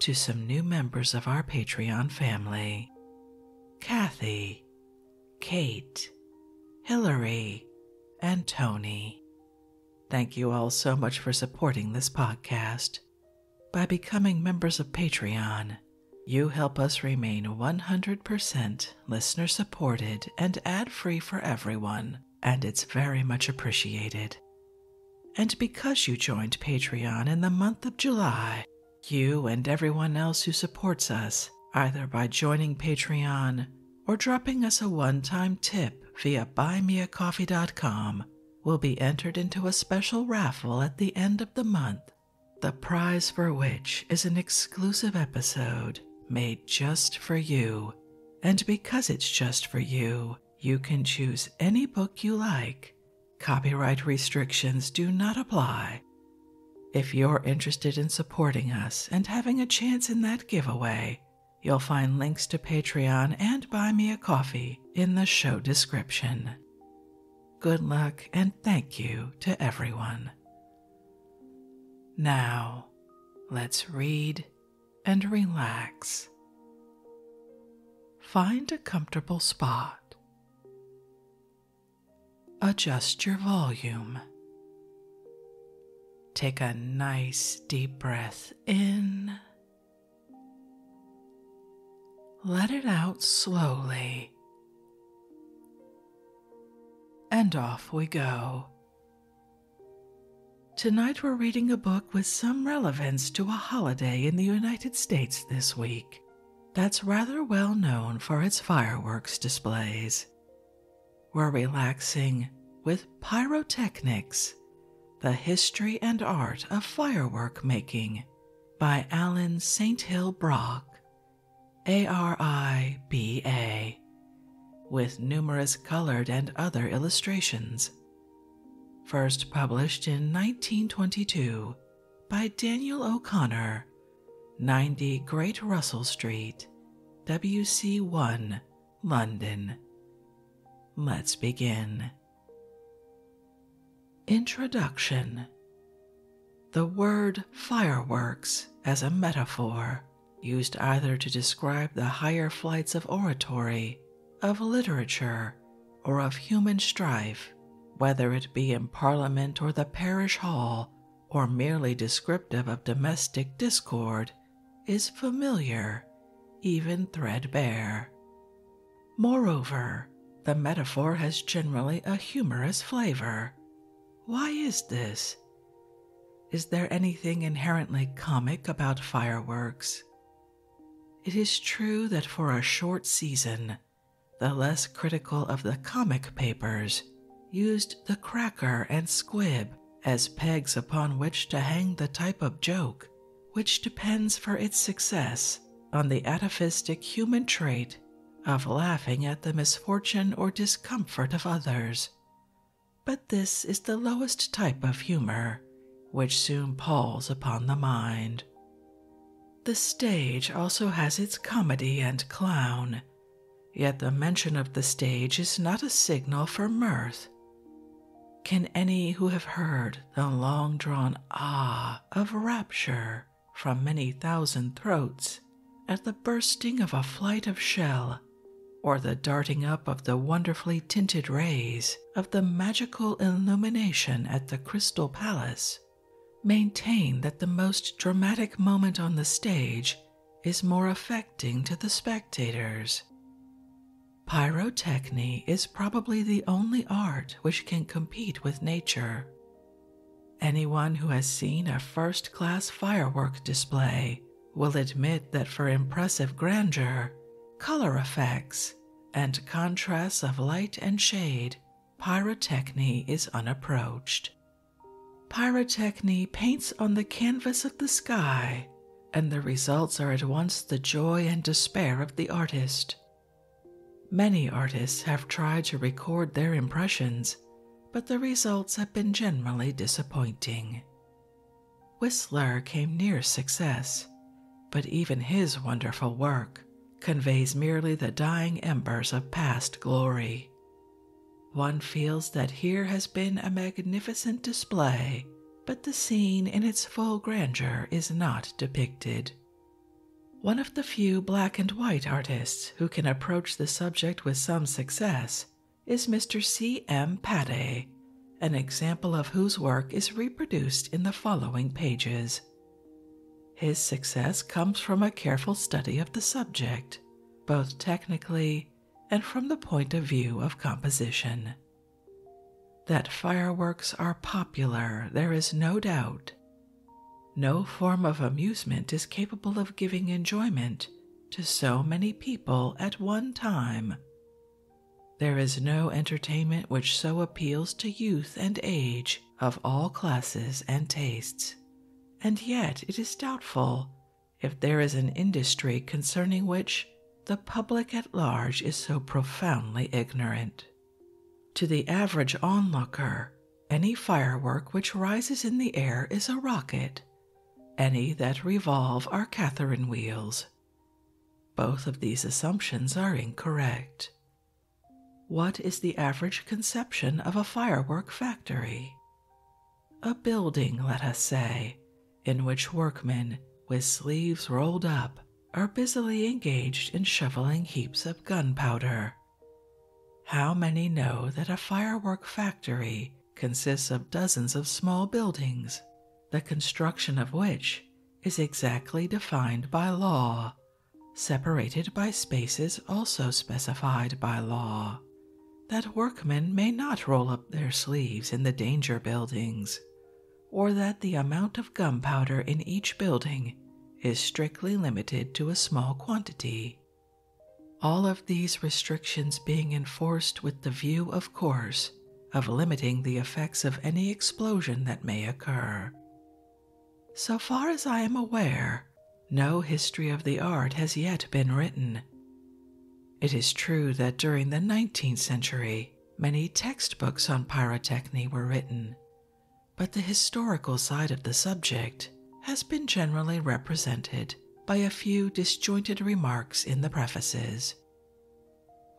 to some new members of our Patreon family Kathy, Kate, Hillary, and Tony. Thank you all so much for supporting this podcast. By becoming members of Patreon, you help us remain 100% listener supported and ad free for everyone, and it's very much appreciated. And because you joined Patreon in the month of July, you and everyone else who supports us, either by joining Patreon or dropping us a one time tip via buymeacoffee.com, will be entered into a special raffle at the end of the month, the prize for which is an exclusive episode made just for you. And because it's just for you, you can choose any book you like Copyright restrictions do not apply. If you're interested in supporting us and having a chance in that giveaway, you'll find links to Patreon and Buy Me a Coffee in the show description. Good luck and thank you to everyone. Now, let's read and relax. Find a comfortable spot Adjust your volume. Take a nice deep breath in. Let it out slowly. And off we go. Tonight we're reading a book with some relevance to a holiday in the United States this week that's rather well known for its fireworks displays, We're relaxing with Pyrotechnics The History and Art of Firework Making by Alan St. Hill Brock, ARIBA, with numerous colored and other illustrations. First published in 1922 by Daniel O'Connor, 90 Great Russell Street, WC1, London. Let's begin. Introduction The word fireworks as a metaphor used either to describe the higher flights of oratory, of literature, or of human strife, whether it be in Parliament or the parish hall, or merely descriptive of domestic discord, is familiar, even threadbare. Moreover, the metaphor has generally a humorous flavor. Why is this? Is there anything inherently comic about fireworks? It is true that for a short season the less critical of the comic papers used the cracker and squib as pegs upon which to hang the type of joke which depends for its success on the atavistic human trait of laughing at the misfortune or discomfort of others. But this is the lowest type of humor, which soon palls upon the mind. The stage also has its comedy and clown, yet the mention of the stage is not a signal for mirth. Can any who have heard the long drawn ah of rapture from many thousand throats at the bursting of a flight of shell or the darting up of the wonderfully tinted rays of the magical illumination at the Crystal Palace maintain that the most dramatic moment on the stage is more affecting to the spectators. Pyrotechny is probably the only art which can compete with nature. Anyone who has seen a first class firework display will admit that for impressive grandeur, color effects, and contrasts of light and shade pyrotechny is unapproached. Pyrotechny paints on the canvas of the sky, and the results are at once the joy and despair of the artist. Many artists have tried to record their impressions, but the results have been generally disappointing. Whistler came near success, but even his wonderful work conveys merely the dying embers of past glory. One feels that here has been a magnificent display, but the scene in its full grandeur is not depicted. One of the few black and white artists who can approach the subject with some success is Mr. C. M. Pate, an example of whose work is reproduced in the following pages. His success comes from a careful study of the subject, both technically and from the point of view of composition. That fireworks are popular, there is no doubt. No form of amusement is capable of giving enjoyment to so many people at one time. There is no entertainment which so appeals to youth and age of all classes and tastes, and yet it is doubtful if there is an industry concerning which the public at large is so profoundly ignorant. To the average onlooker, any firework which rises in the air is a rocket, any that revolve are Catherine wheels. Both of these assumptions are incorrect. What is the average conception of a firework factory? A building, let us say, in which workmen, with sleeves rolled up, are busily engaged in shoveling heaps of gunpowder. How many know that a firework factory consists of dozens of small buildings, the construction of which is exactly defined by law separated by spaces also specified by law, that workmen may not roll up their sleeves in the danger buildings, or that the amount of gunpowder in each building is strictly limited to a small quantity. All of these restrictions being enforced with the view, of course, of limiting the effects of any explosion that may occur, so far as I am aware, no history of the art has yet been written. It is true that during the 19th century, many textbooks on pyrotechny were written, but the historical side of the subject has been generally represented by a few disjointed remarks in the prefaces.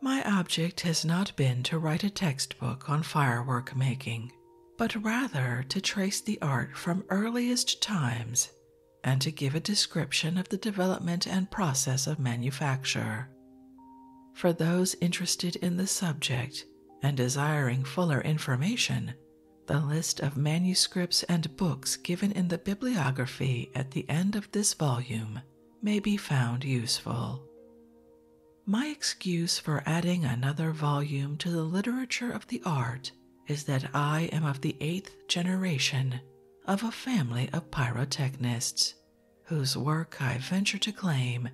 My object has not been to write a textbook on firework making but rather to trace the art from earliest times and to give a description of the development and process of manufacture. For those interested in the subject and desiring fuller information, the list of manuscripts and books given in the bibliography at the end of this volume may be found useful. My excuse for adding another volume to the literature of the art is that I am of the eighth generation of a family of pyrotechnists, whose work I venture to claim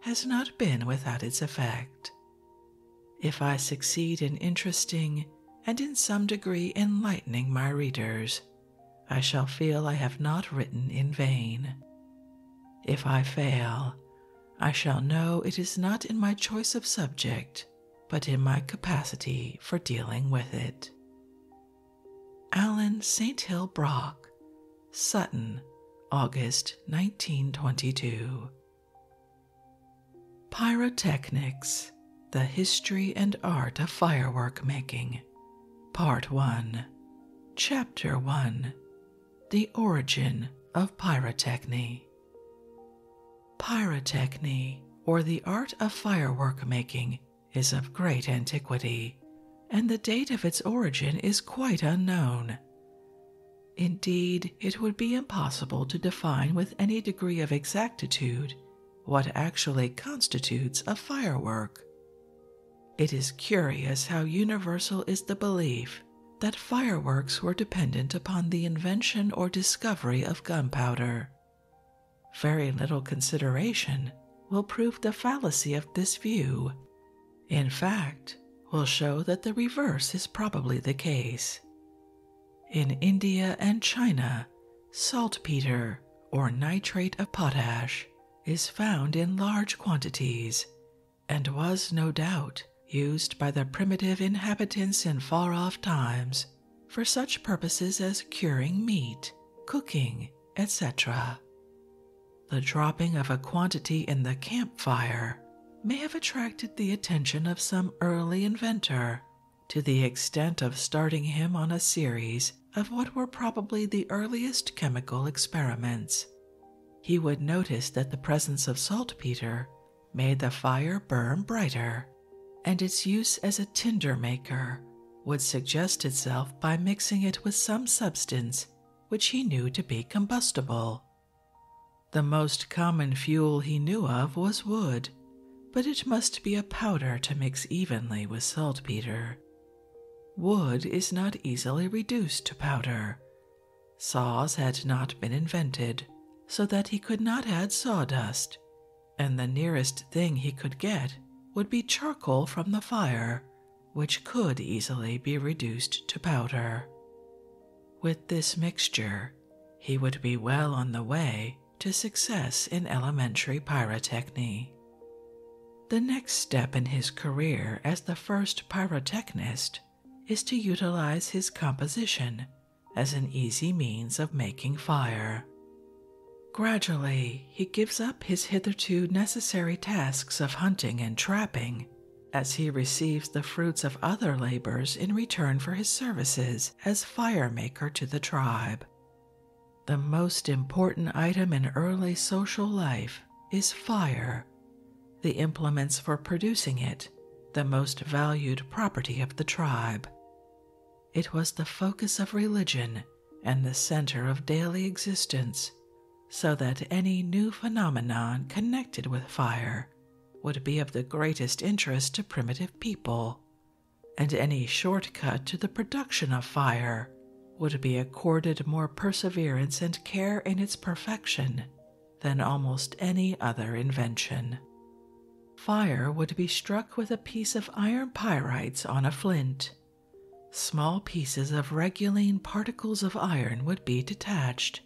has not been without its effect. If I succeed in interesting and in some degree enlightening my readers, I shall feel I have not written in vain. If I fail, I shall know it is not in my choice of subject, but in my capacity for dealing with it. Allan St. Hill Brock, Sutton, August 1922. Pyrotechnics The History and Art of Firework Making, Part 1, Chapter 1 the origin of pyrotechny. Pyrotechny, or the art of firework making, is of great antiquity, and the date of its origin is quite unknown. Indeed, it would be impossible to define with any degree of exactitude what actually constitutes a firework. It is curious how universal is the belief that fireworks were dependent upon the invention or discovery of gunpowder. Very little consideration will prove the fallacy of this view. In fact, will show that the reverse is probably the case. In India and China, saltpeter or nitrate of potash is found in large quantities and was no doubt used by the primitive inhabitants in far off times for such purposes as curing meat, cooking, etc. The dropping of a quantity in the campfire may have attracted the attention of some early inventor to the extent of starting him on a series of what were probably the earliest chemical experiments, he would notice that the presence of saltpeter made the fire burn brighter, and its use as a tinder maker would suggest itself by mixing it with some substance which he knew to be combustible. The most common fuel he knew of was wood, but it must be a powder to mix evenly with saltpeter. Wood is not easily reduced to powder, Saws had not been invented, so that he could not add sawdust, and the nearest thing he could get would be charcoal from the fire, which could easily be reduced to powder. With this mixture, he would be well on the way to success in elementary pyrotechny. The next step in his career as the first pyrotechnist is to utilize his composition as an easy means of making fire. Gradually, he gives up his hitherto necessary tasks of hunting and trapping as he receives the fruits of other labors in return for his services as fire maker to the tribe. The most important item in early social life is fire, the implements for producing it, the most valued property of the tribe. It was the focus of religion and the center of daily existence, so that any new phenomenon connected with fire would be of the greatest interest to primitive people, and any shortcut to the production of fire would be accorded more perseverance and care in its perfection than almost any other invention. Fire would be struck with a piece of iron pyrites on a flint. Small pieces of reguline particles of iron would be detached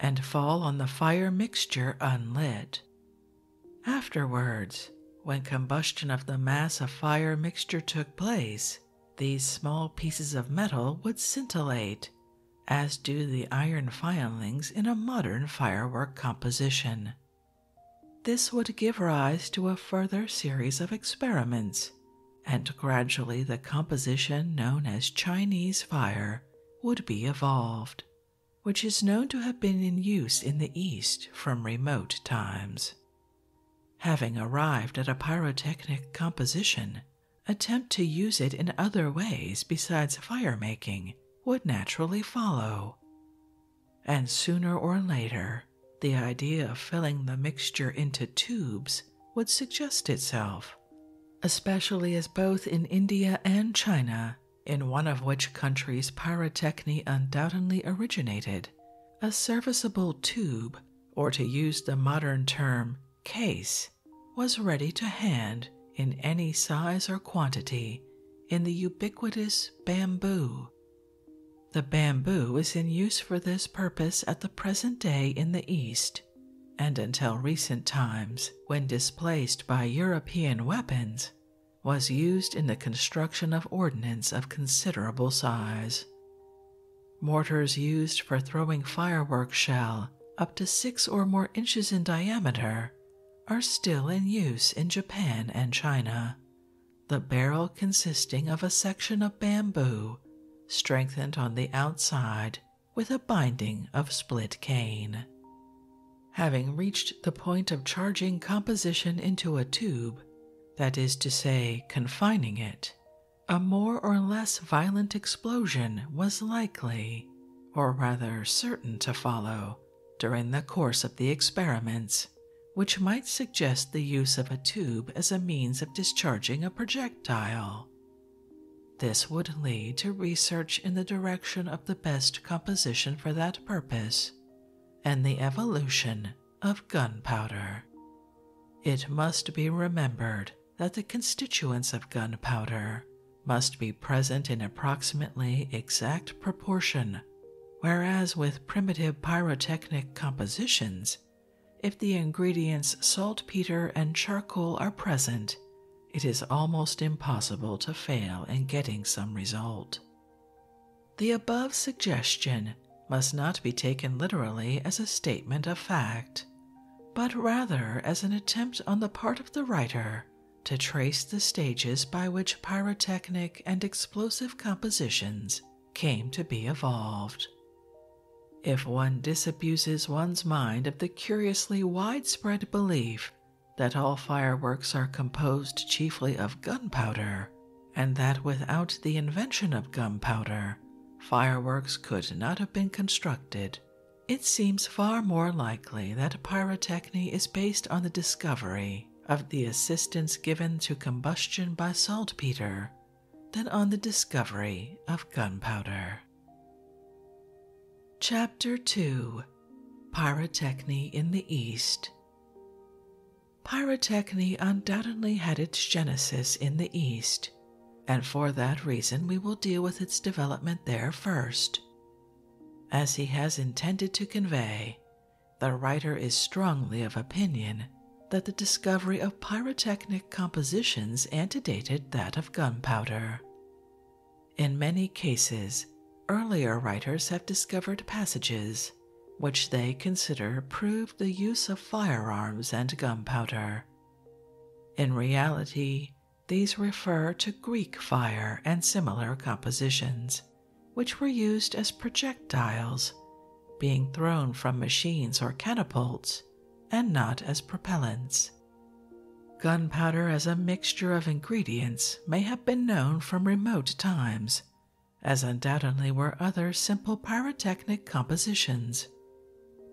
and fall on the fire mixture unlit. Afterwards, when combustion of the mass of fire mixture took place, these small pieces of metal would scintillate, as do the iron filings in a modern firework composition. This would give rise to a further series of experiments, and gradually the composition known as Chinese fire would be evolved, which is known to have been in use in the East from remote times. Having arrived at a pyrotechnic composition attempt to use it in other ways besides fire making would naturally follow. And sooner or later, the idea of filling the mixture into tubes would suggest itself, especially as both in India and China, in one of which countries pyrotechny undoubtedly originated, a serviceable tube, or to use the modern term, case, was ready to hand in any size or quantity in the ubiquitous bamboo. The bamboo is in use for this purpose at the present day in the East, and until recent times, when displaced by European weapons, was used in the construction of ordnance of considerable size. Mortars used for throwing firework shell up to six or more inches in diameter are still in use in Japan and China. The barrel consisting of a section of bamboo strengthened on the outside with a binding of split cane. Having reached the point of charging composition into a tube, that is to say, confining it, a more or less violent explosion was likely, or rather certain to follow, during the course of the experiments, which might suggest the use of a tube as a means of discharging a projectile. This would lead to research in the direction of the best composition for that purpose and the evolution of gunpowder. It must be remembered that the constituents of gunpowder must be present in approximately exact proportion, whereas with primitive pyrotechnic compositions, if the ingredients saltpeter and charcoal are present, it is almost impossible to fail in getting some result. The above suggestion must not be taken literally as a statement of fact but rather as an attempt on the part of the writer to trace the stages by which pyrotechnic and explosive compositions came to be evolved. If one disabuses one's mind of the curiously widespread belief that all fireworks are composed chiefly of gunpowder, and that without the invention of gunpowder, Fireworks could not have been constructed. It seems far more likely that pyrotechny is based on the discovery of the assistance given to combustion by saltpeter than on the discovery of gunpowder. Chapter 2 Pyrotechny in the East Pyrotechny undoubtedly had its genesis in the East and for that reason we will deal with its development there first. As he has intended to convey, the writer is strongly of opinion that the discovery of pyrotechnic compositions antedated that of gunpowder. In many cases, earlier writers have discovered passages which they consider prove the use of firearms and gunpowder in reality, these refer to Greek fire and similar compositions, which were used as projectiles, being thrown from machines or catapults, and not as propellants. Gunpowder as a mixture of ingredients may have been known from remote times, as undoubtedly were other simple pyrotechnic compositions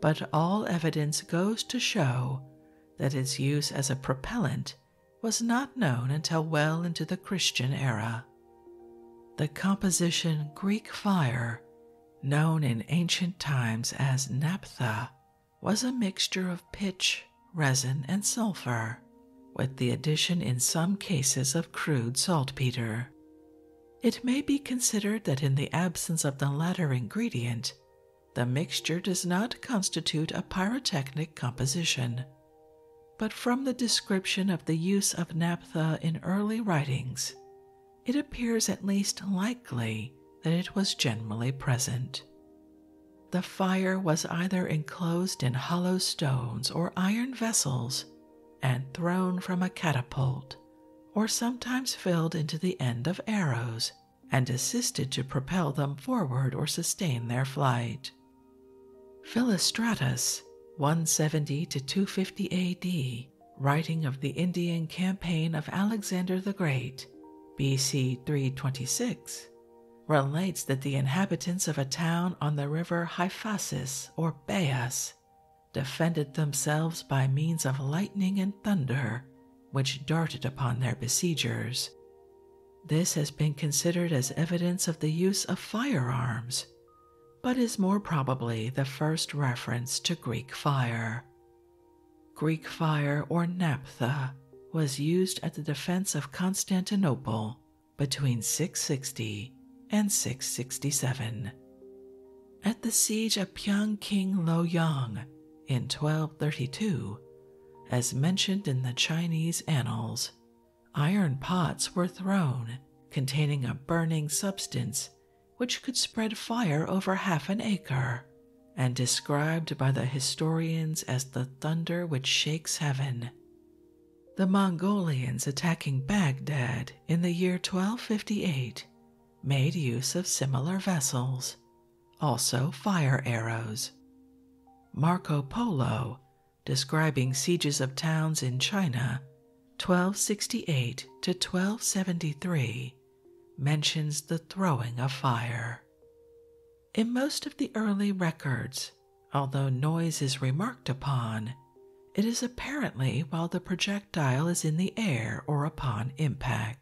but all evidence goes to show that its use as a propellant was not known until well into the Christian era. The composition Greek fire, known in ancient times as naphtha, was a mixture of pitch, resin, and sulfur, with the addition in some cases of crude saltpeter. It may be considered that in the absence of the latter ingredient, the mixture does not constitute a pyrotechnic composition. But from the description of the use of naphtha in early writings, it appears at least likely that it was generally present. The fire was either enclosed in hollow stones or iron vessels and thrown from a catapult or sometimes filled into the end of arrows, and assisted to propel them forward or sustain their flight. Philostratus, 170 to 250 AD, writing of the Indian campaign of Alexander the Great, BC 326, relates that the inhabitants of a town on the river Hyphasis or Bayas defended themselves by means of lightning and thunder, which darted upon their besiegers. This has been considered as evidence of the use of firearms, but is more probably the first reference to Greek fire. Greek fire, or naphtha, was used at the defense of Constantinople between 660 and 667. At the siege of Lo Yang, in 1232, as mentioned in the Chinese annals, iron pots were thrown containing a burning substance which could spread fire over half an acre, and described by the historians as the thunder which shakes heaven. The Mongolians attacking Baghdad in the year 1258 made use of similar vessels, also fire arrows. Marco Polo, describing sieges of towns in China 1268 to 1273, mentions the throwing of fire. In most of the early records, although noise is remarked upon, it is apparently while the projectile is in the air or upon impact.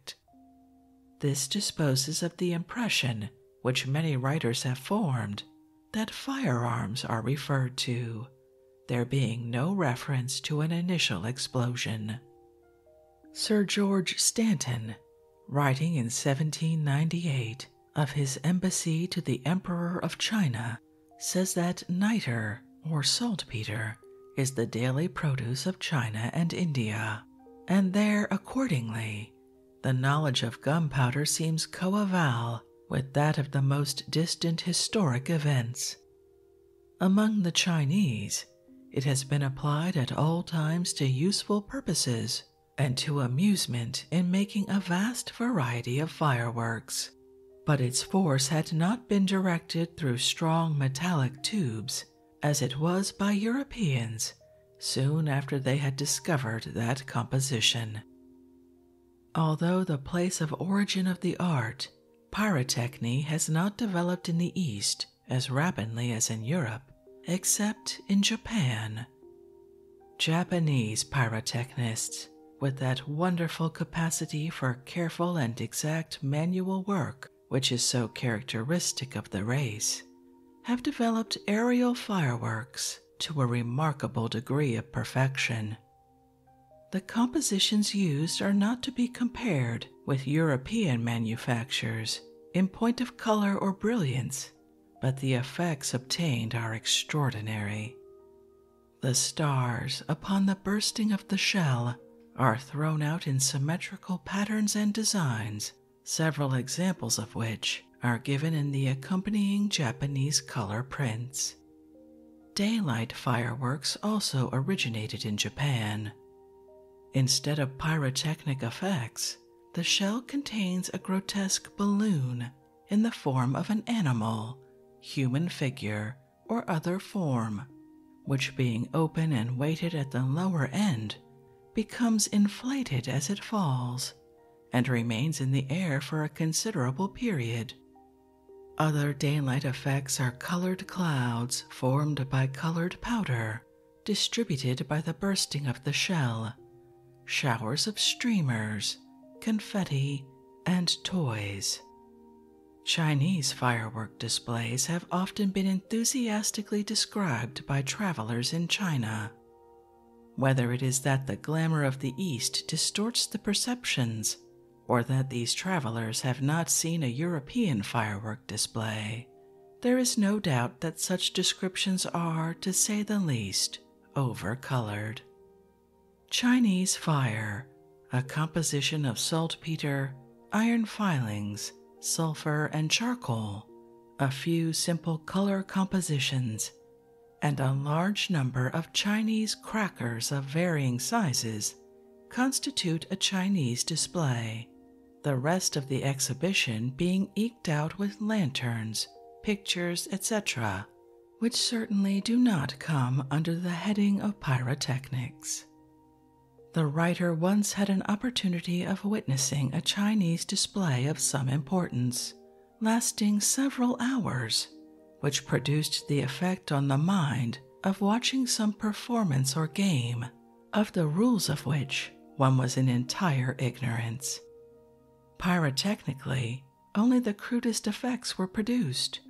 This disposes of the impression which many writers have formed that firearms are referred to, there being no reference to an initial explosion. Sir George Stanton, writing in 1798 of his embassy to the Emperor of China, says that niter or saltpeter, is the daily produce of China and India, and there, accordingly, the knowledge of gunpowder seems coeval with that of the most distant historic events. Among the Chinese, it has been applied at all times to useful purposes and to amusement in making a vast variety of fireworks. But its force had not been directed through strong metallic tubes as it was by Europeans soon after they had discovered that composition. Although the place of origin of the art, pyrotechny has not developed in the East as rapidly as in Europe, except in Japan. Japanese pyrotechnists, with that wonderful capacity for careful and exact manual work which is so characteristic of the race, have developed aerial fireworks to a remarkable degree of perfection. The compositions used are not to be compared with European manufactures in point of color or brilliance, but the effects obtained are extraordinary. The stars upon the bursting of the shell are thrown out in symmetrical patterns and designs, several examples of which are given in the accompanying Japanese color prints. Daylight fireworks also originated in Japan. Instead of pyrotechnic effects, the shell contains a grotesque balloon in the form of an animal, human figure, or other form, which being open and weighted at the lower end becomes inflated as it falls and remains in the air for a considerable period. Other daylight effects are colored clouds formed by colored powder distributed by the bursting of the shell, showers of streamers, confetti, and toys. Chinese firework displays have often been enthusiastically described by travelers in China. Whether it is that the glamour of the East distorts the perceptions, or that these travelers have not seen a European firework display, there is no doubt that such descriptions are, to say the least, overcolored. Chinese fire a composition of saltpeter, iron filings, sulfur, and charcoal, a few simple color compositions, and a large number of Chinese crackers of varying sizes constitute a Chinese display, the rest of the exhibition being eked out with lanterns, pictures, etc., which certainly do not come under the heading of pyrotechnics. The writer once had an opportunity of witnessing a Chinese display of some importance, lasting several hours, which produced the effect on the mind of watching some performance or game, of the rules of which one was in entire ignorance. Pyrotechnically, only the crudest effects were produced.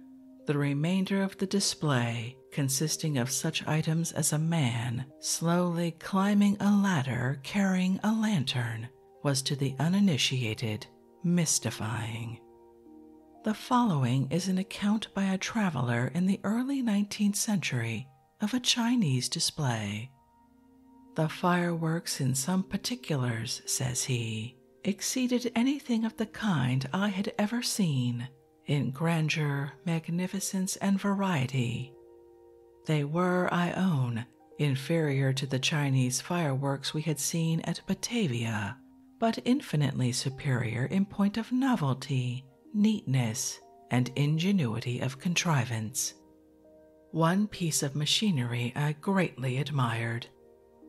The remainder of the display consisting of such items as a man slowly climbing a ladder carrying a lantern, was to the uninitiated mystifying. The following is an account by a traveler in the early 19th century of a Chinese display. The fireworks, in some particulars, says he, exceeded anything of the kind I had ever seen, in grandeur, magnificence, and variety. They were, I own, inferior to the Chinese fireworks we had seen at Batavia, but infinitely superior in point of novelty, neatness, and ingenuity of contrivance. One piece of machinery I greatly admired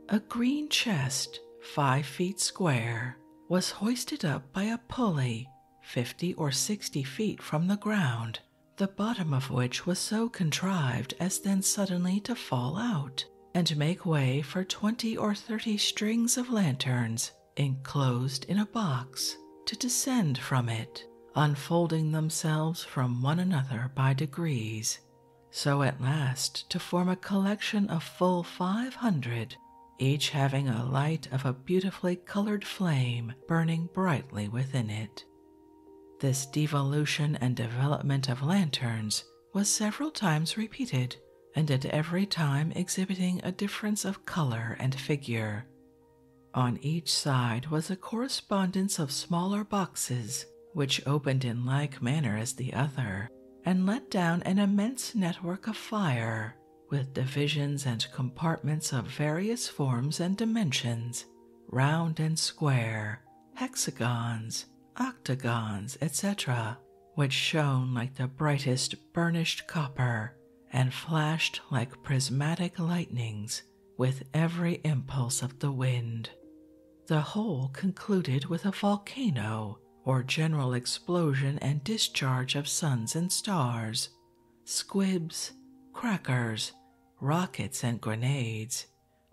a green chest, five feet square, was hoisted up by a pulley fifty or sixty feet from the ground, the bottom of which was so contrived as then suddenly to fall out and make way for twenty or thirty strings of lanterns enclosed in a box to descend from it, unfolding themselves from one another by degrees, so at last to form a collection of full five hundred each having a light of a beautifully colored flame burning brightly within it. This devolution and development of lanterns was several times repeated, and at every time exhibiting a difference of color and figure. On each side was a correspondence of smaller boxes, which opened in like manner as the other, and let down an immense network of fire with divisions and compartments of various forms and dimensions, round and square, hexagons, octagons, etc., which shone like the brightest burnished copper and flashed like prismatic lightnings with every impulse of the wind. The whole concluded with a volcano or general explosion and discharge of suns and stars, squibs, crackers, rockets, and grenades,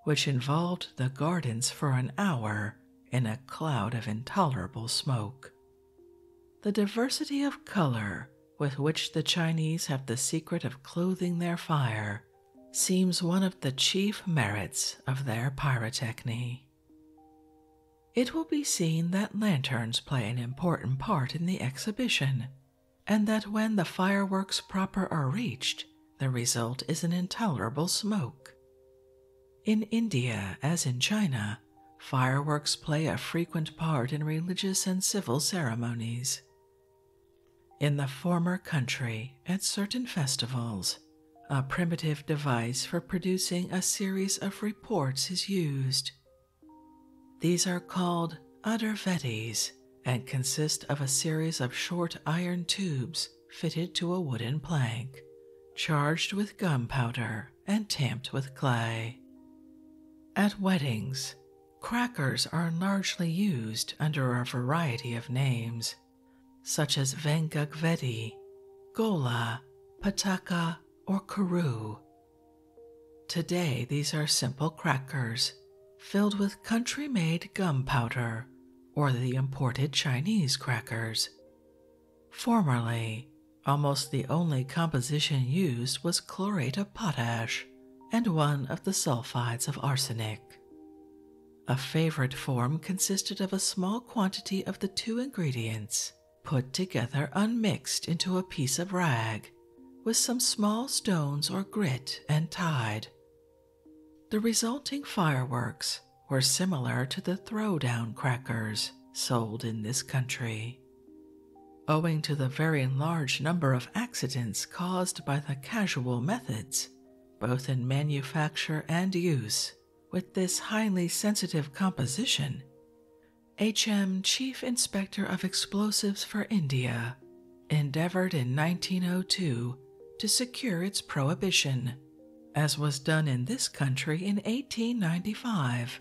which involved the gardens for an hour in a cloud of intolerable smoke. The diversity of color with which the Chinese have the secret of clothing their fire seems one of the chief merits of their pyrotechny. It will be seen that lanterns play an important part in the exhibition, and that when the fireworks proper are reached, the result is an intolerable smoke. In India, as in China, fireworks play a frequent part in religious and civil ceremonies. In the former country, at certain festivals, a primitive device for producing a series of reports is used. These are called uddervetties and consist of a series of short iron tubes fitted to a wooden plank, charged with gunpowder and tamped with clay. At weddings, crackers are largely used under a variety of names, such as Vengagvedi, Gola, pataka, or karoo. Today, these are simple crackers filled with country made gum powder or the imported Chinese crackers. Formerly, almost the only composition used was chlorate of potash and one of the sulfides of arsenic. A favorite form consisted of a small quantity of the two ingredients put together unmixed into a piece of rag with some small stones or grit and tied. The resulting fireworks were similar to the throwdown crackers sold in this country. Owing to the very large number of accidents caused by the casual methods, both in manufacture and use, with this highly sensitive composition. H.M. Chief Inspector of Explosives for India endeavored in 1902 to secure its prohibition, as was done in this country in 1895.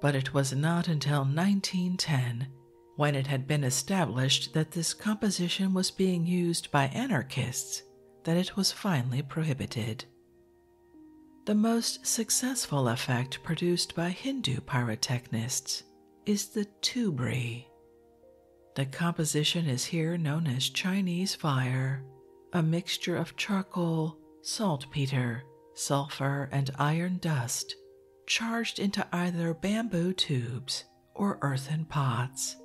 But it was not until 1910 when it had been established that this composition was being used by anarchists that it was finally prohibited. The most successful effect produced by Hindu pyrotechnists is the tubri. The composition is here known as Chinese fire, a mixture of charcoal, saltpeter, sulfur, and iron dust charged into either bamboo tubes or earthen pots.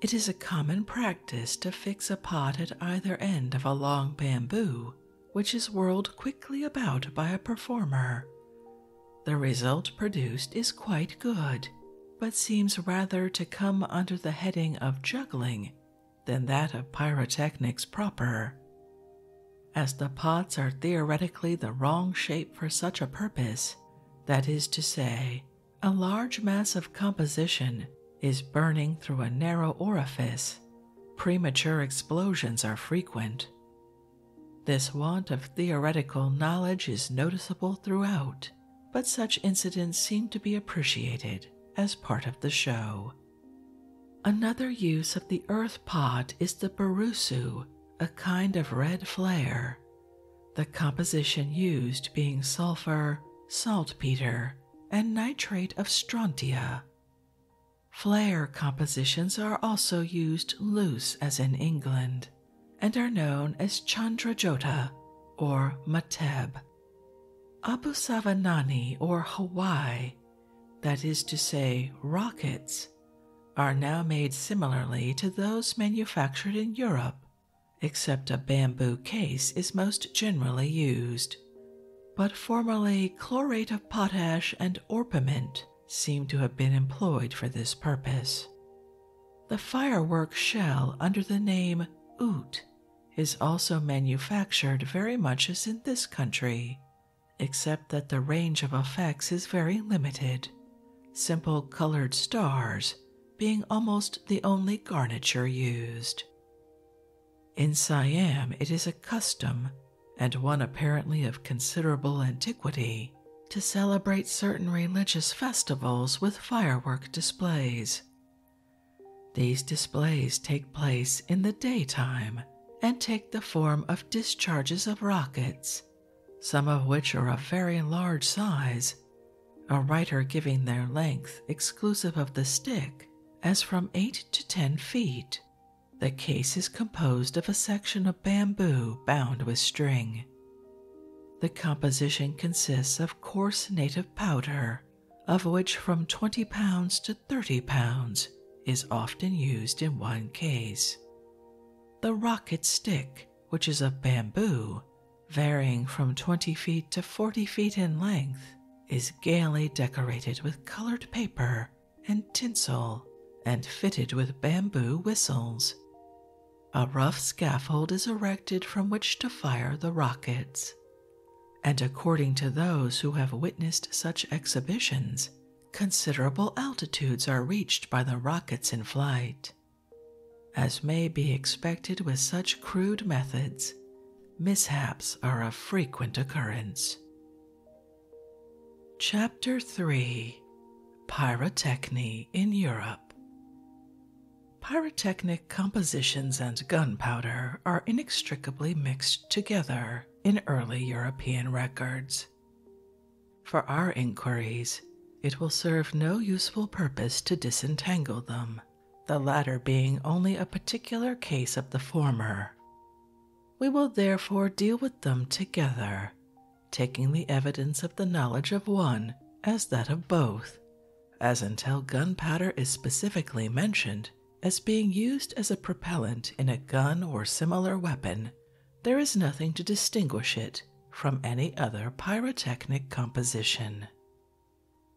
It is a common practice to fix a pot at either end of a long bamboo, which is whirled quickly about by a performer. The result produced is quite good, but seems rather to come under the heading of juggling than that of pyrotechnics proper. As the pots are theoretically the wrong shape for such a purpose, that is to say, a large mass of composition is burning through a narrow orifice. Premature explosions are frequent. This want of theoretical knowledge is noticeable throughout, but such incidents seem to be appreciated as part of the show. Another use of the earth pot is the barusu, a kind of red flare, the composition used being sulfur, saltpeter, and nitrate of strontia. Flare compositions are also used loose, as in England, and are known as Chandrajota or Mateb. Abu Savanani or Hawaii, that is to say, rockets, are now made similarly to those manufactured in Europe except a bamboo case is most generally used. But formerly, chlorate of potash and orpiment seem to have been employed for this purpose. The firework shell under the name oot is also manufactured very much as in this country, except that the range of effects is very limited, simple colored stars being almost the only garniture used. In Siam, it is a custom, and one apparently of considerable antiquity, to celebrate certain religious festivals with firework displays. These displays take place in the daytime and take the form of discharges of rockets, some of which are of very large size a writer giving their length exclusive of the stick as from 8 to 10 feet. The case is composed of a section of bamboo bound with string. The composition consists of coarse native powder, of which from 20 pounds to 30 pounds is often used in one case. The rocket stick, which is of bamboo, varying from 20 feet to 40 feet in length, is gaily decorated with colored paper and tinsel and fitted with bamboo whistles. A rough scaffold is erected from which to fire the rockets. And according to those who have witnessed such exhibitions, considerable altitudes are reached by the rockets in flight. As may be expected with such crude methods, mishaps are of frequent occurrence. Chapter 3 Pyrotechny in Europe Pyrotechnic compositions and gunpowder are inextricably mixed together in early European records. For our inquiries, it will serve no useful purpose to disentangle them the latter being only a particular case of the former. We will therefore deal with them together, taking the evidence of the knowledge of one as that of both, as until gunpowder is specifically mentioned as being used as a propellant in a gun or similar weapon, there is nothing to distinguish it from any other pyrotechnic composition.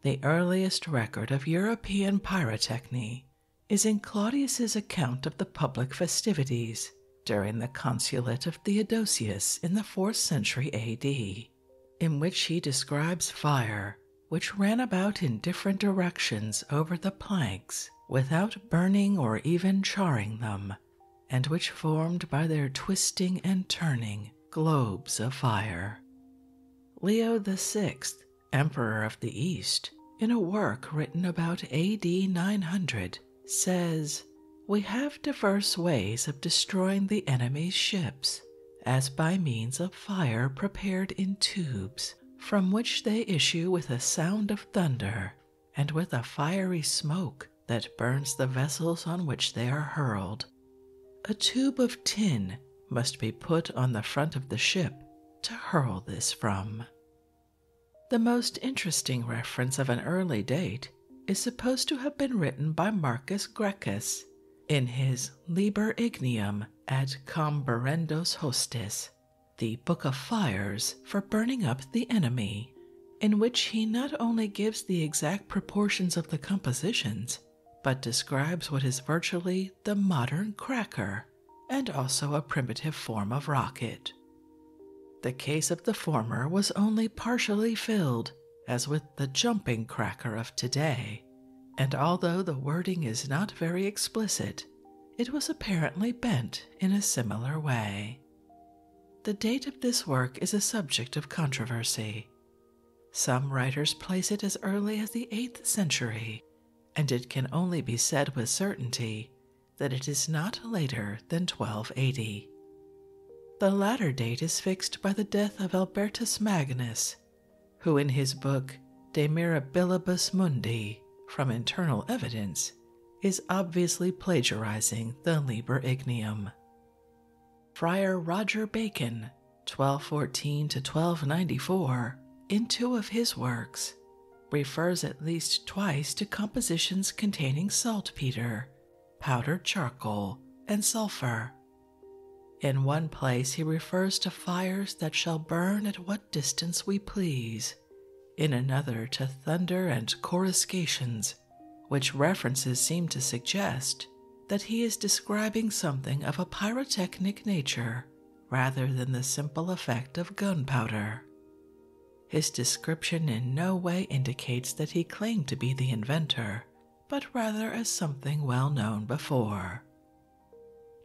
The earliest record of European pyrotechny is in Claudius's account of the public festivities during the consulate of Theodosius in the 4th century AD, in which he describes fire which ran about in different directions over the planks without burning or even charring them, and which formed by their twisting and turning globes of fire. Leo VI, Emperor of the East, in a work written about AD 900, says, We have diverse ways of destroying the enemy's ships, as by means of fire prepared in tubes, from which they issue with a sound of thunder and with a fiery smoke that burns the vessels on which they are hurled. A tube of tin must be put on the front of the ship to hurl this from. The most interesting reference of an early date is supposed to have been written by Marcus Gracchus in his Liber Ignium ad Comberendos Hostis, the Book of Fires for Burning Up the Enemy, in which he not only gives the exact proportions of the compositions, but describes what is virtually the modern cracker and also a primitive form of rocket. The case of the former was only partially filled, as with the jumping cracker of today, and although the wording is not very explicit, it was apparently bent in a similar way. The date of this work is a subject of controversy, some writers place it as early as the 8th century, and it can only be said with certainty that it is not later than 1280. The latter date is fixed by the death of Albertus Magnus, who in his book De Mirabilibus Mundi, from internal evidence, is obviously plagiarizing the Liber Ignium. Friar Roger Bacon, 1214 to 1294, in two of his works, refers at least twice to compositions containing saltpeter, powdered charcoal, and sulfur. In one place he refers to fires that shall burn at what distance we please, in another to thunder and coruscations, which references seem to suggest that he is describing something of a pyrotechnic nature rather than the simple effect of gunpowder. His description in no way indicates that he claimed to be the inventor, but rather as something well known before.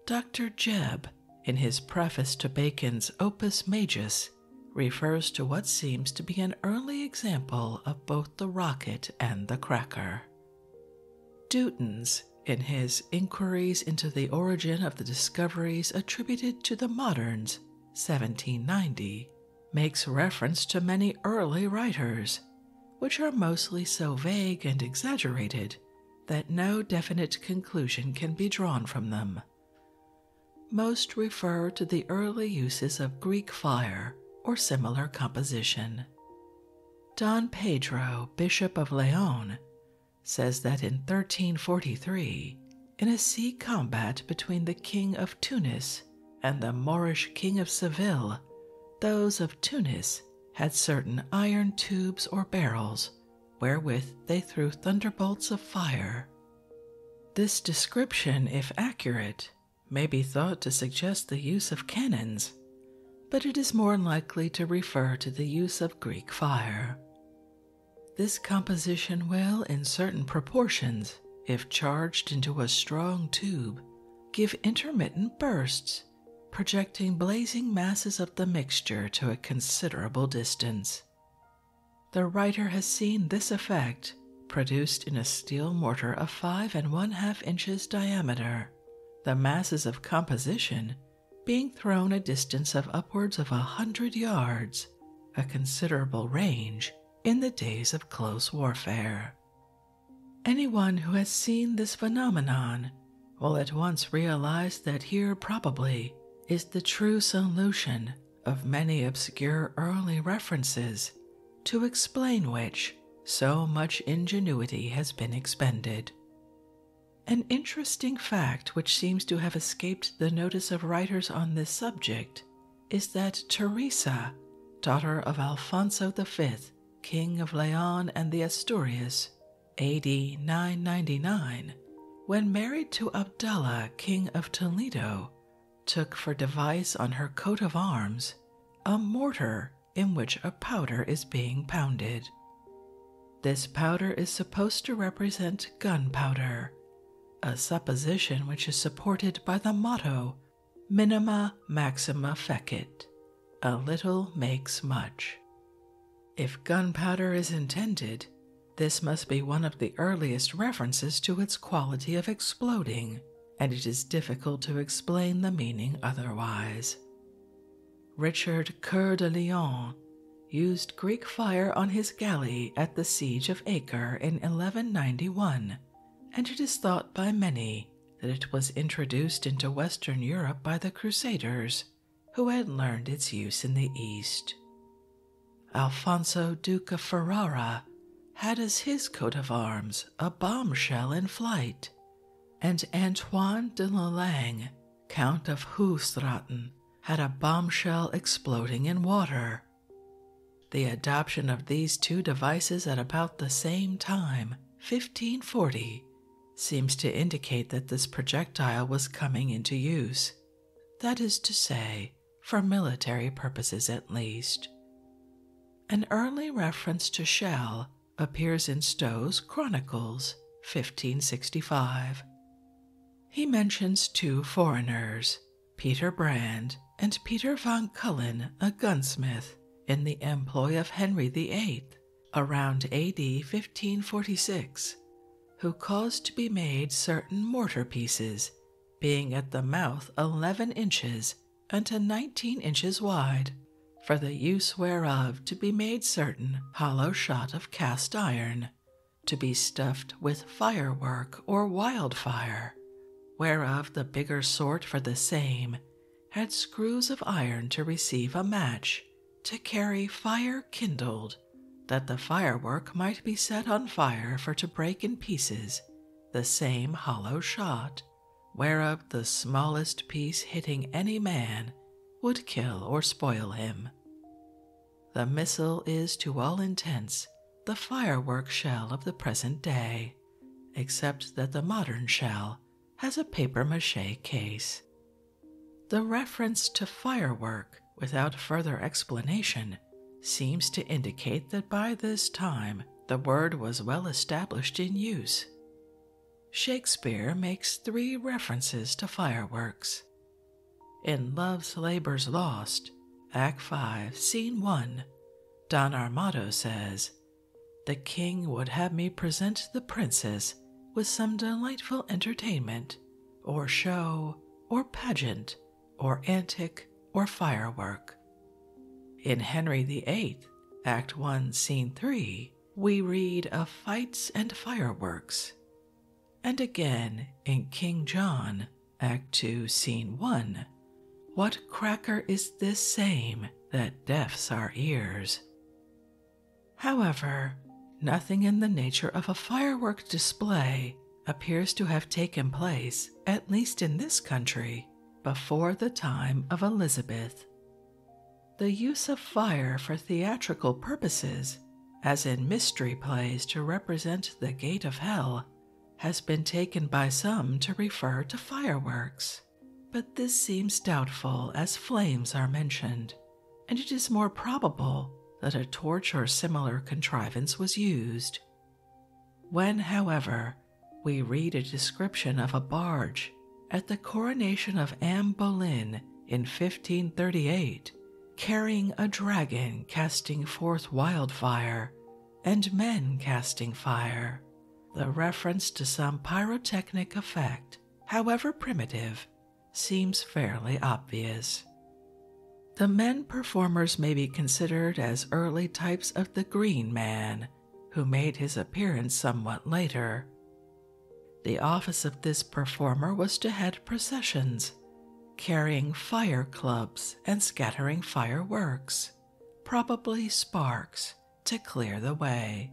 Dr. Jebb, in his preface to Bacon's Opus Majus, refers to what seems to be an early example of both the rocket and the cracker. Dutens, in his Inquiries into the Origin of the Discoveries Attributed to the Moderns, 1790, makes reference to many early writers, which are mostly so vague and exaggerated that no definite conclusion can be drawn from them. Most refer to the early uses of Greek fire or similar composition. Don Pedro, Bishop of Leon, says that in 1343, in a sea combat between the King of Tunis and the Moorish King of Seville, those of Tunis had certain iron tubes or barrels wherewith they threw thunderbolts of fire. This description, if accurate, may be thought to suggest the use of cannons, but it is more likely to refer to the use of Greek fire. This composition will, in certain proportions, if charged into a strong tube, give intermittent bursts, projecting blazing masses of the mixture to a considerable distance. The writer has seen this effect produced in a steel mortar of five and one half inches diameter the masses of composition being thrown a distance of upwards of a hundred yards, a considerable range in the days of close warfare. Any one who has seen this phenomenon will at once realize that here probably is the true solution of many obscure early references to explain which so much ingenuity has been expended. An interesting fact which seems to have escaped the notice of writers on this subject is that Teresa, daughter of Alfonso V, King of Leon and the Asturias, AD 999, when married to Abdallah, King of Toledo, took for device on her coat of arms a mortar in which a powder is being pounded. This powder is supposed to represent gunpowder, a supposition which is supported by the motto minima maxima fecit, a little makes much. If gunpowder is intended, this must be one of the earliest references to its quality of exploding and it is difficult to explain the meaning otherwise. Richard Coeur de Lion used Greek fire on his galley at the siege of Acre in 1191, and it is thought by many that it was introduced into Western Europe by the Crusaders, who had learned its use in the East. Alfonso, Duke of Ferrara, had as his coat of arms a bombshell in flight, and Antoine de Lalange, Count of Hoogstraten, had a bombshell exploding in water. The adoption of these two devices at about the same time, 1540, seems to indicate that this projectile was coming into use, that is to say, for military purposes at least. An early reference to shell appears in Stowe's Chronicles, 1565. He mentions two foreigners, Peter Brand and Peter van Cullen, a gunsmith, in the employ of Henry VIII around AD 1546, who caused to be made certain mortar pieces, being at the mouth 11 inches unto nineteen inches wide, for the use whereof to be made certain hollow shot of cast iron, to be stuffed with firework or wildfire, whereof the bigger sort for the same had screws of iron to receive a match, to carry fire kindled, that the firework might be set on fire for to break in pieces the same hollow shot whereof the smallest piece hitting any man would kill or spoil him. The missile is to all intents the firework shell of the present day, except that the modern shell has a papier mache case. The reference to firework, without further explanation, seems to indicate that by this time the word was well established in use. Shakespeare makes three references to fireworks. In Love's Labour's Lost, Act 5, Scene 1, Don Armado says, The king would have me present the princess with some delightful entertainment, or show, or pageant, or antic, or firework. In Henry VIII, Act 1, Scene 3, we read of fights and fireworks. And again in King John, Act 2, Scene 1, what cracker is this same that deafs our ears? However, nothing in the nature of a fireworks display appears to have taken place, at least in this country, before the time of Elizabeth. The use of fire for theatrical purposes, as in mystery plays to represent the gate of hell, has been taken by some to refer to fireworks, but this seems doubtful as flames are mentioned, and it is more probable that a torch or similar contrivance was used. When, however, we read a description of a barge at the coronation of Anne Boleyn in 1538 carrying a dragon casting forth wildfire and men casting fire. The reference to some pyrotechnic effect, however primitive, seems fairly obvious. The men performers may be considered as early types of the green man, who made his appearance somewhat later. The office of this performer was to head processions, carrying fire clubs and scattering fireworks, probably sparks, to clear the way.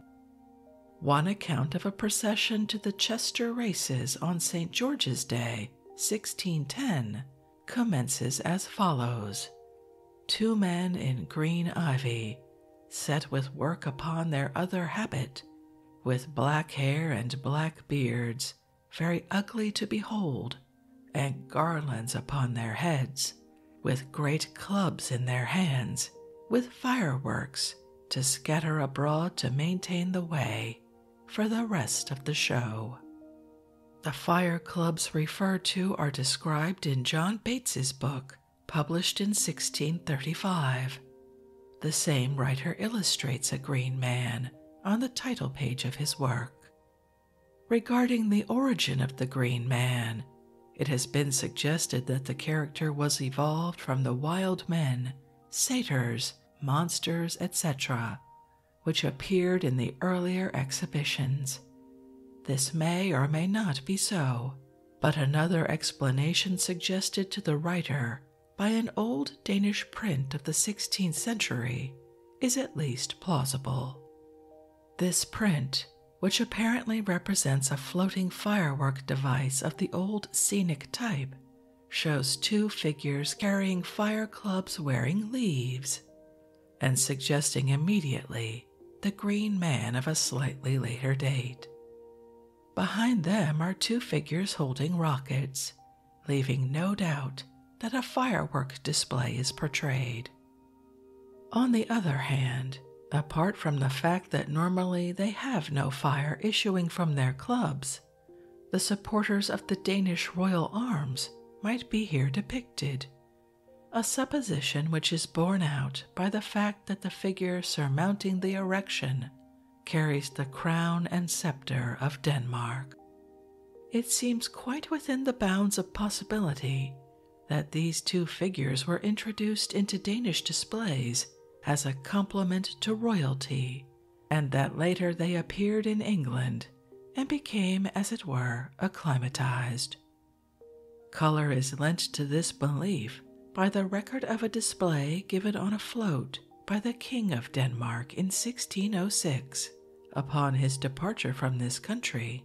One account of a procession to the Chester races on St. George's Day, 1610, commences as follows Two men in green ivy, set with work upon their other habit, with black hair and black beards, very ugly to behold, and garlands upon their heads, with great clubs in their hands, with fireworks to scatter abroad to maintain the way for the rest of the show. The fire clubs referred to are described in John Bates's book, published in 1635. The same writer illustrates a green man on the title page of his work. Regarding the origin of the green man, it has been suggested that the character was evolved from the wild men, satyrs, monsters, etc., which appeared in the earlier exhibitions. This may or may not be so but another explanation suggested to the writer by an old Danish print of the 16th century is at least plausible. This print, which apparently represents a floating firework device of the old scenic type, shows two figures carrying fire clubs wearing leaves and suggesting immediately the green man of a slightly later date. Behind them are two figures holding rockets, leaving no doubt that a firework display is portrayed. On the other hand, apart from the fact that normally they have no fire issuing from their clubs, the supporters of the Danish royal arms might be here depicted a supposition which is borne out by the fact that the figure surmounting the erection carries the crown and scepter of Denmark. It seems quite within the bounds of possibility that these two figures were introduced into Danish displays as a compliment to royalty, and that later they appeared in England and became, as it were, acclimatized. Color is lent to this belief by the record of a display given on a float by the King of Denmark in 1606 upon his departure from this country,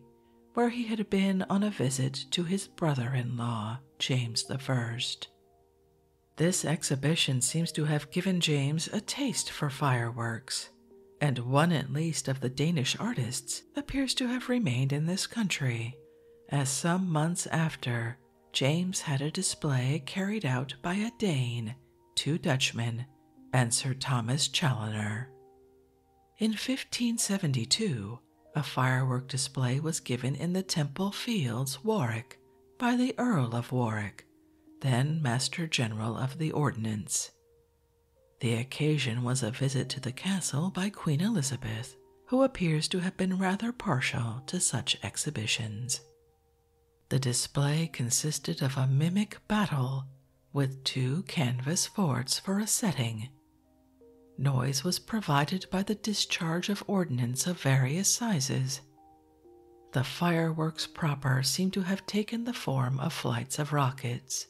where he had been on a visit to his brother in law, James I. This exhibition seems to have given James a taste for fireworks, and one at least of the Danish artists appears to have remained in this country as some months after James had a display carried out by a Dane, two Dutchmen, and Sir Thomas Challoner. In 1572, a firework display was given in the Temple Fields, Warwick, by the Earl of Warwick, then Master General of the Ordnance. The occasion was a visit to the castle by Queen Elizabeth who appears to have been rather partial to such exhibitions. The display consisted of a mimic battle with two canvas forts for a setting. Noise was provided by the discharge of ordnance of various sizes. The fireworks proper seem to have taken the form of flights of rockets,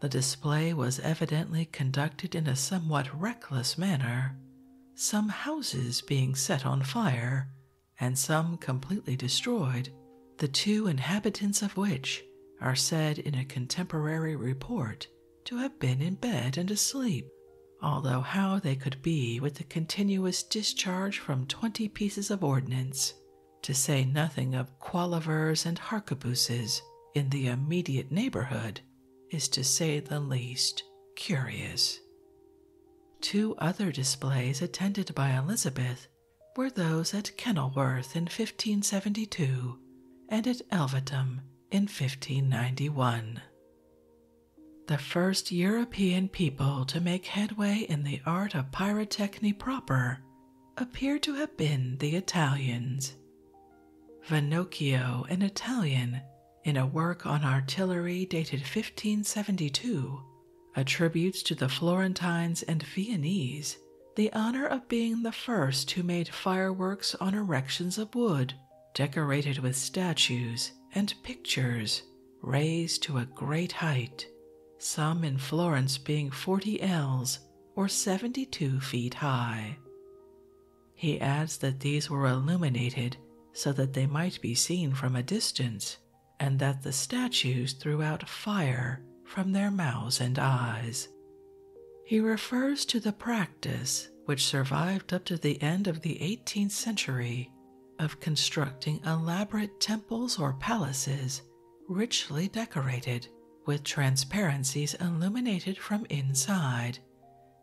the display was evidently conducted in a somewhat reckless manner, some houses being set on fire and some completely destroyed, the two inhabitants of which are said in a contemporary report to have been in bed and asleep, although how they could be with the continuous discharge from twenty pieces of ordnance, to say nothing of Qualivers and harquebuses in the immediate neighborhood is, to say the least, curious. Two other displays attended by Elizabeth were those at Kenilworth in 1572 and at Elvetum in 1591. The first European people to make headway in the art of pyrotechny proper appear to have been the Italians. Vanocchio, an Italian, in a work on artillery dated 1572, attributes to the Florentines and Viennese the honor of being the first who made fireworks on erections of wood, decorated with statues and pictures, raised to a great height, some in Florence being 40 ells or 72 feet high. He adds that these were illuminated so that they might be seen from a distance, and that the statues threw out fire from their mouths and eyes. He refers to the practice, which survived up to the end of the 18th century, of constructing elaborate temples or palaces richly decorated with transparencies illuminated from inside,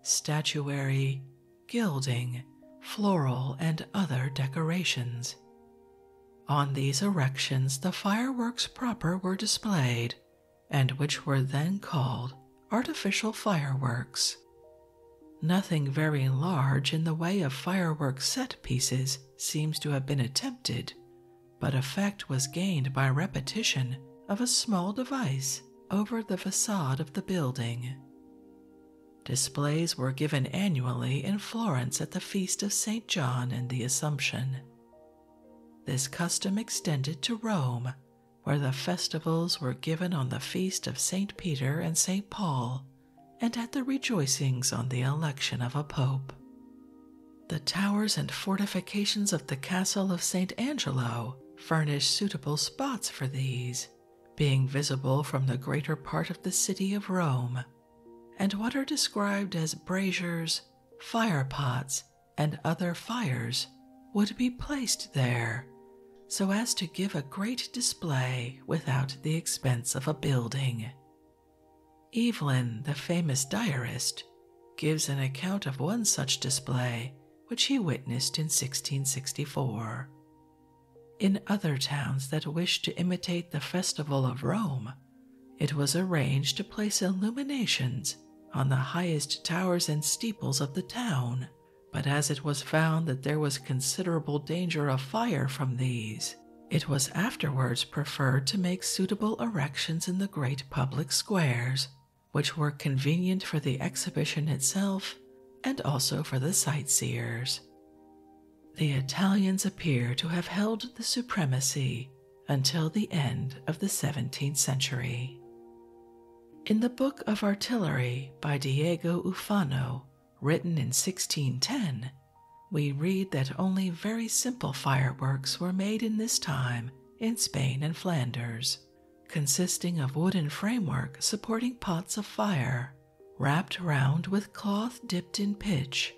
statuary, gilding, floral, and other decorations. On these erections, the fireworks proper were displayed, and which were then called artificial fireworks. Nothing very large in the way of fireworks set pieces seems to have been attempted, but effect was gained by repetition of a small device over the facade of the building. Displays were given annually in Florence at the Feast of St. John and the Assumption. This custom extended to Rome, where the festivals were given on the Feast of St. Peter and St. Paul and at the rejoicings on the election of a pope. The towers and fortifications of the castle of St. Angelo furnish suitable spots for these, being visible from the greater part of the city of Rome, and what are described as braziers, fire pots, and other fires would be placed there so as to give a great display without the expense of a building. Evelyn, the famous diarist, gives an account of one such display which he witnessed in 1664. In other towns that wished to imitate the Festival of Rome, it was arranged to place illuminations on the highest towers and steeples of the town, but as it was found that there was considerable danger of fire from these, it was afterwards preferred to make suitable erections in the great public squares which were convenient for the exhibition itself and also for the sightseers. The Italians appear to have held the supremacy until the end of the 17th century. In the Book of Artillery by Diego Ufano, written in 1610, we read that only very simple fireworks were made in this time in Spain and Flanders, consisting of wooden framework supporting pots of fire, wrapped round with cloth dipped in pitch,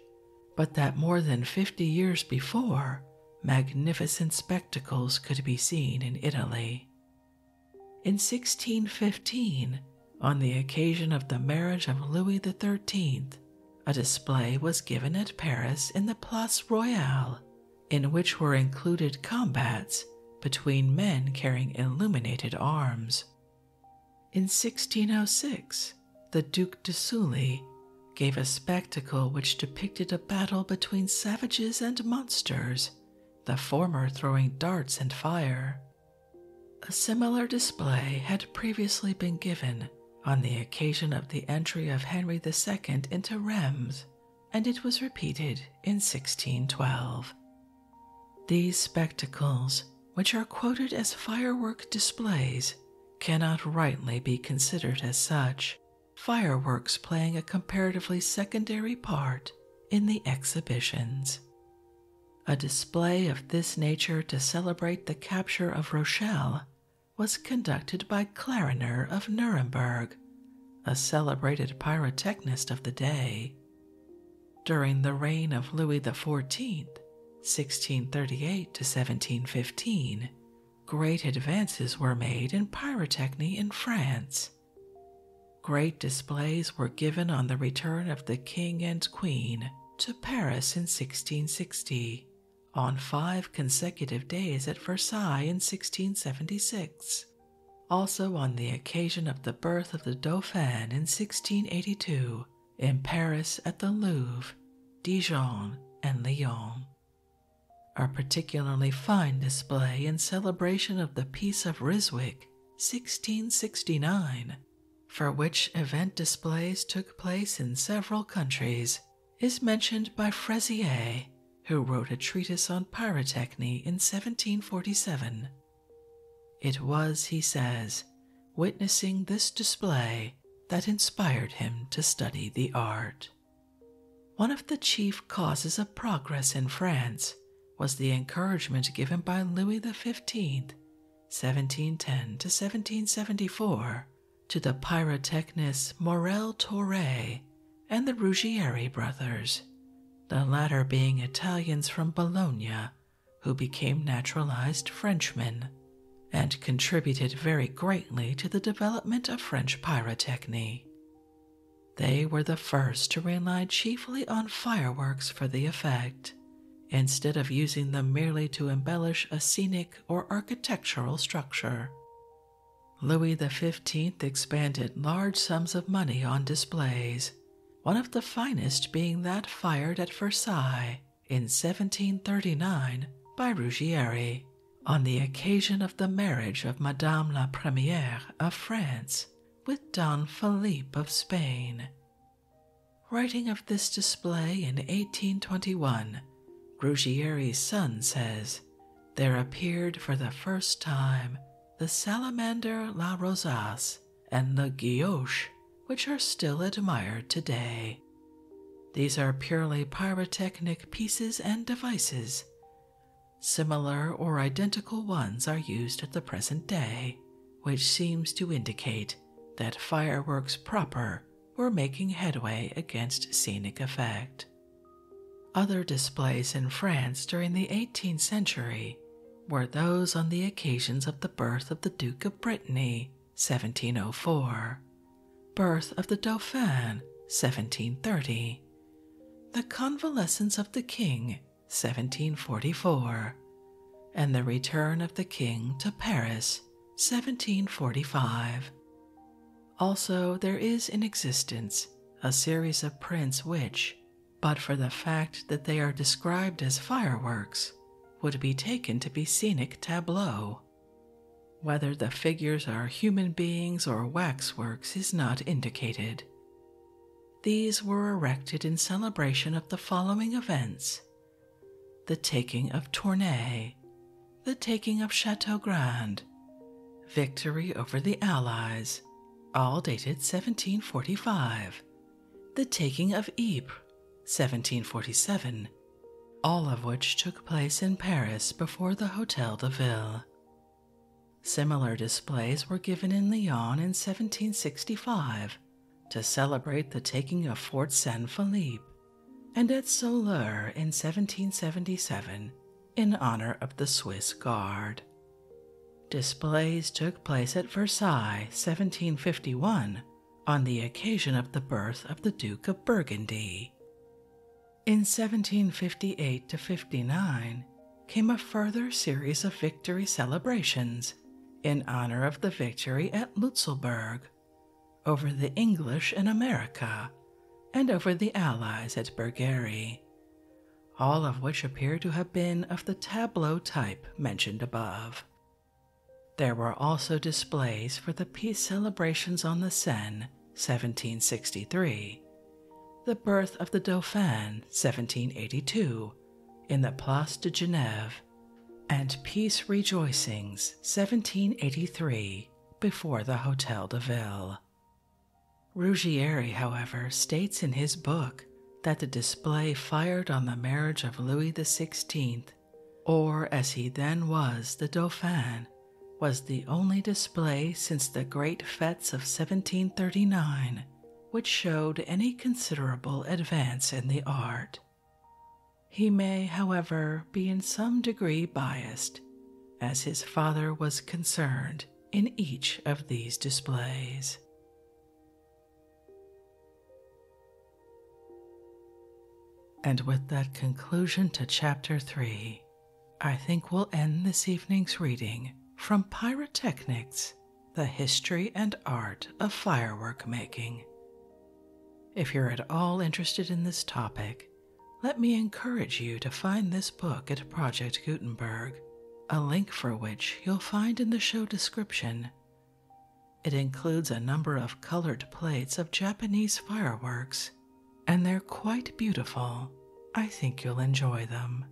but that more than fifty years before, magnificent spectacles could be seen in Italy. In 1615, on the occasion of the marriage of Louis XIII, a display was given at Paris in the Place Royale in which were included combats between men carrying illuminated arms. In 1606, the Duc de Sully gave a spectacle which depicted a battle between savages and monsters, the former throwing darts and fire. A similar display had previously been given on the occasion of the entry of Henry II into Rheims, and it was repeated in 1612. These spectacles, which are quoted as firework displays, cannot rightly be considered as such, fireworks playing a comparatively secondary part in the exhibitions. A display of this nature to celebrate the capture of Rochelle was conducted by Clariner of Nuremberg, a celebrated pyrotechnist of the day. During the reign of Louis XIV, 1638 to 1715, great advances were made in pyrotechny in France. Great displays were given on the return of the king and queen to Paris in 1660 on five consecutive days at Versailles in 1676, also on the occasion of the birth of the Dauphin in 1682, in Paris at the Louvre, Dijon, and Lyon. A particularly fine display in celebration of the Peace of Ryswick, 1669, for which event displays took place in several countries is mentioned by Fraisier, who wrote a treatise on pyrotechny in 1747. It was, he says, witnessing this display that inspired him to study the art. One of the chief causes of progress in France was the encouragement given by Louis the Fifteenth, 1710 to 1774, to the pyrotechnist Morel Torre and the Ruggieri brothers, the latter being Italians from Bologna who became naturalized Frenchmen and contributed very greatly to the development of French pyrotechny. They were the first to rely chiefly on fireworks for the effect, instead of using them merely to embellish a scenic or architectural structure, Louis XV expended large sums of money on displays, one of the finest being that fired at Versailles in 1739 by Ruggieri on the occasion of the marriage of Madame la Première of France with Don Philippe of Spain. Writing of this display in 1821, Grugieri's son says, There appeared for the first time the salamander La Rosas and the guilloche, which are still admired today. These are purely pyrotechnic pieces and devices. Similar or identical ones are used at the present day, which seems to indicate that fireworks proper were making headway against scenic effect. Other displays in France during the 18th century were those on the occasions of the birth of the Duke of Brittany, 1704, birth of the Dauphin, 1730, the convalescence of the King, 1744, and the return of the King to Paris, 1745. Also, there is in existence a series of prints which, but for the fact that they are described as fireworks, would be taken to be scenic tableaux. Whether the figures are human beings or waxworks is not indicated. These were erected in celebration of the following events the taking of Tournay the taking of Chateau Grand, victory over the Allies, all dated 1745, the taking of Ypres, 1747, all of which took place in Paris before the Hotel de Ville. Similar displays were given in Lyon in 1765 to celebrate the taking of Fort Saint Philippe and at Soleure in 1777 in honor of the Swiss Guard. Displays took place at Versailles 1751 on the occasion of the birth of the Duke of Burgundy. In 1758 to 59 came a further series of victory celebrations in honor of the victory at Lutzelburg, over the English in America, and over the Allies at Burgary, all of which appear to have been of the tableau type mentioned above. There were also displays for the peace celebrations on the Seine, 1763, the birth of the Dauphin, 1782, in the Place de Genève, and peace rejoicings, 1783, before the Hotel de Ville. Ruggieri, however, states in his book that the display fired on the marriage of Louis XVI, or as he then was, the Dauphin, was the only display since the great fetes of 1739 which showed any considerable advance in the art. He may, however, be in some degree biased, as his father was concerned in each of these displays. And with that conclusion to Chapter 3, I think we'll end this evening's reading from Pyrotechnics The History and Art of Firework Making. If you're at all interested in this topic, let me encourage you to find this book at Project Gutenberg, a link for which you'll find in the show description. It includes a number of colored plates of Japanese fireworks, and they're quite beautiful. I think you'll enjoy them.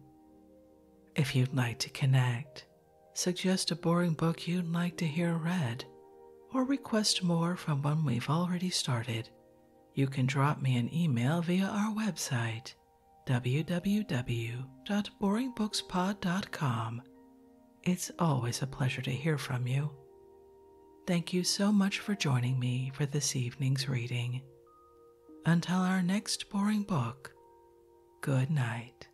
If you'd like to connect, suggest a boring book you'd like to hear read, or request more from one we've already started, you can drop me an email via our website www.boringbookspod.com. It's always a pleasure to hear from you. Thank you so much for joining me for this evening's reading. Until our next boring book, good night.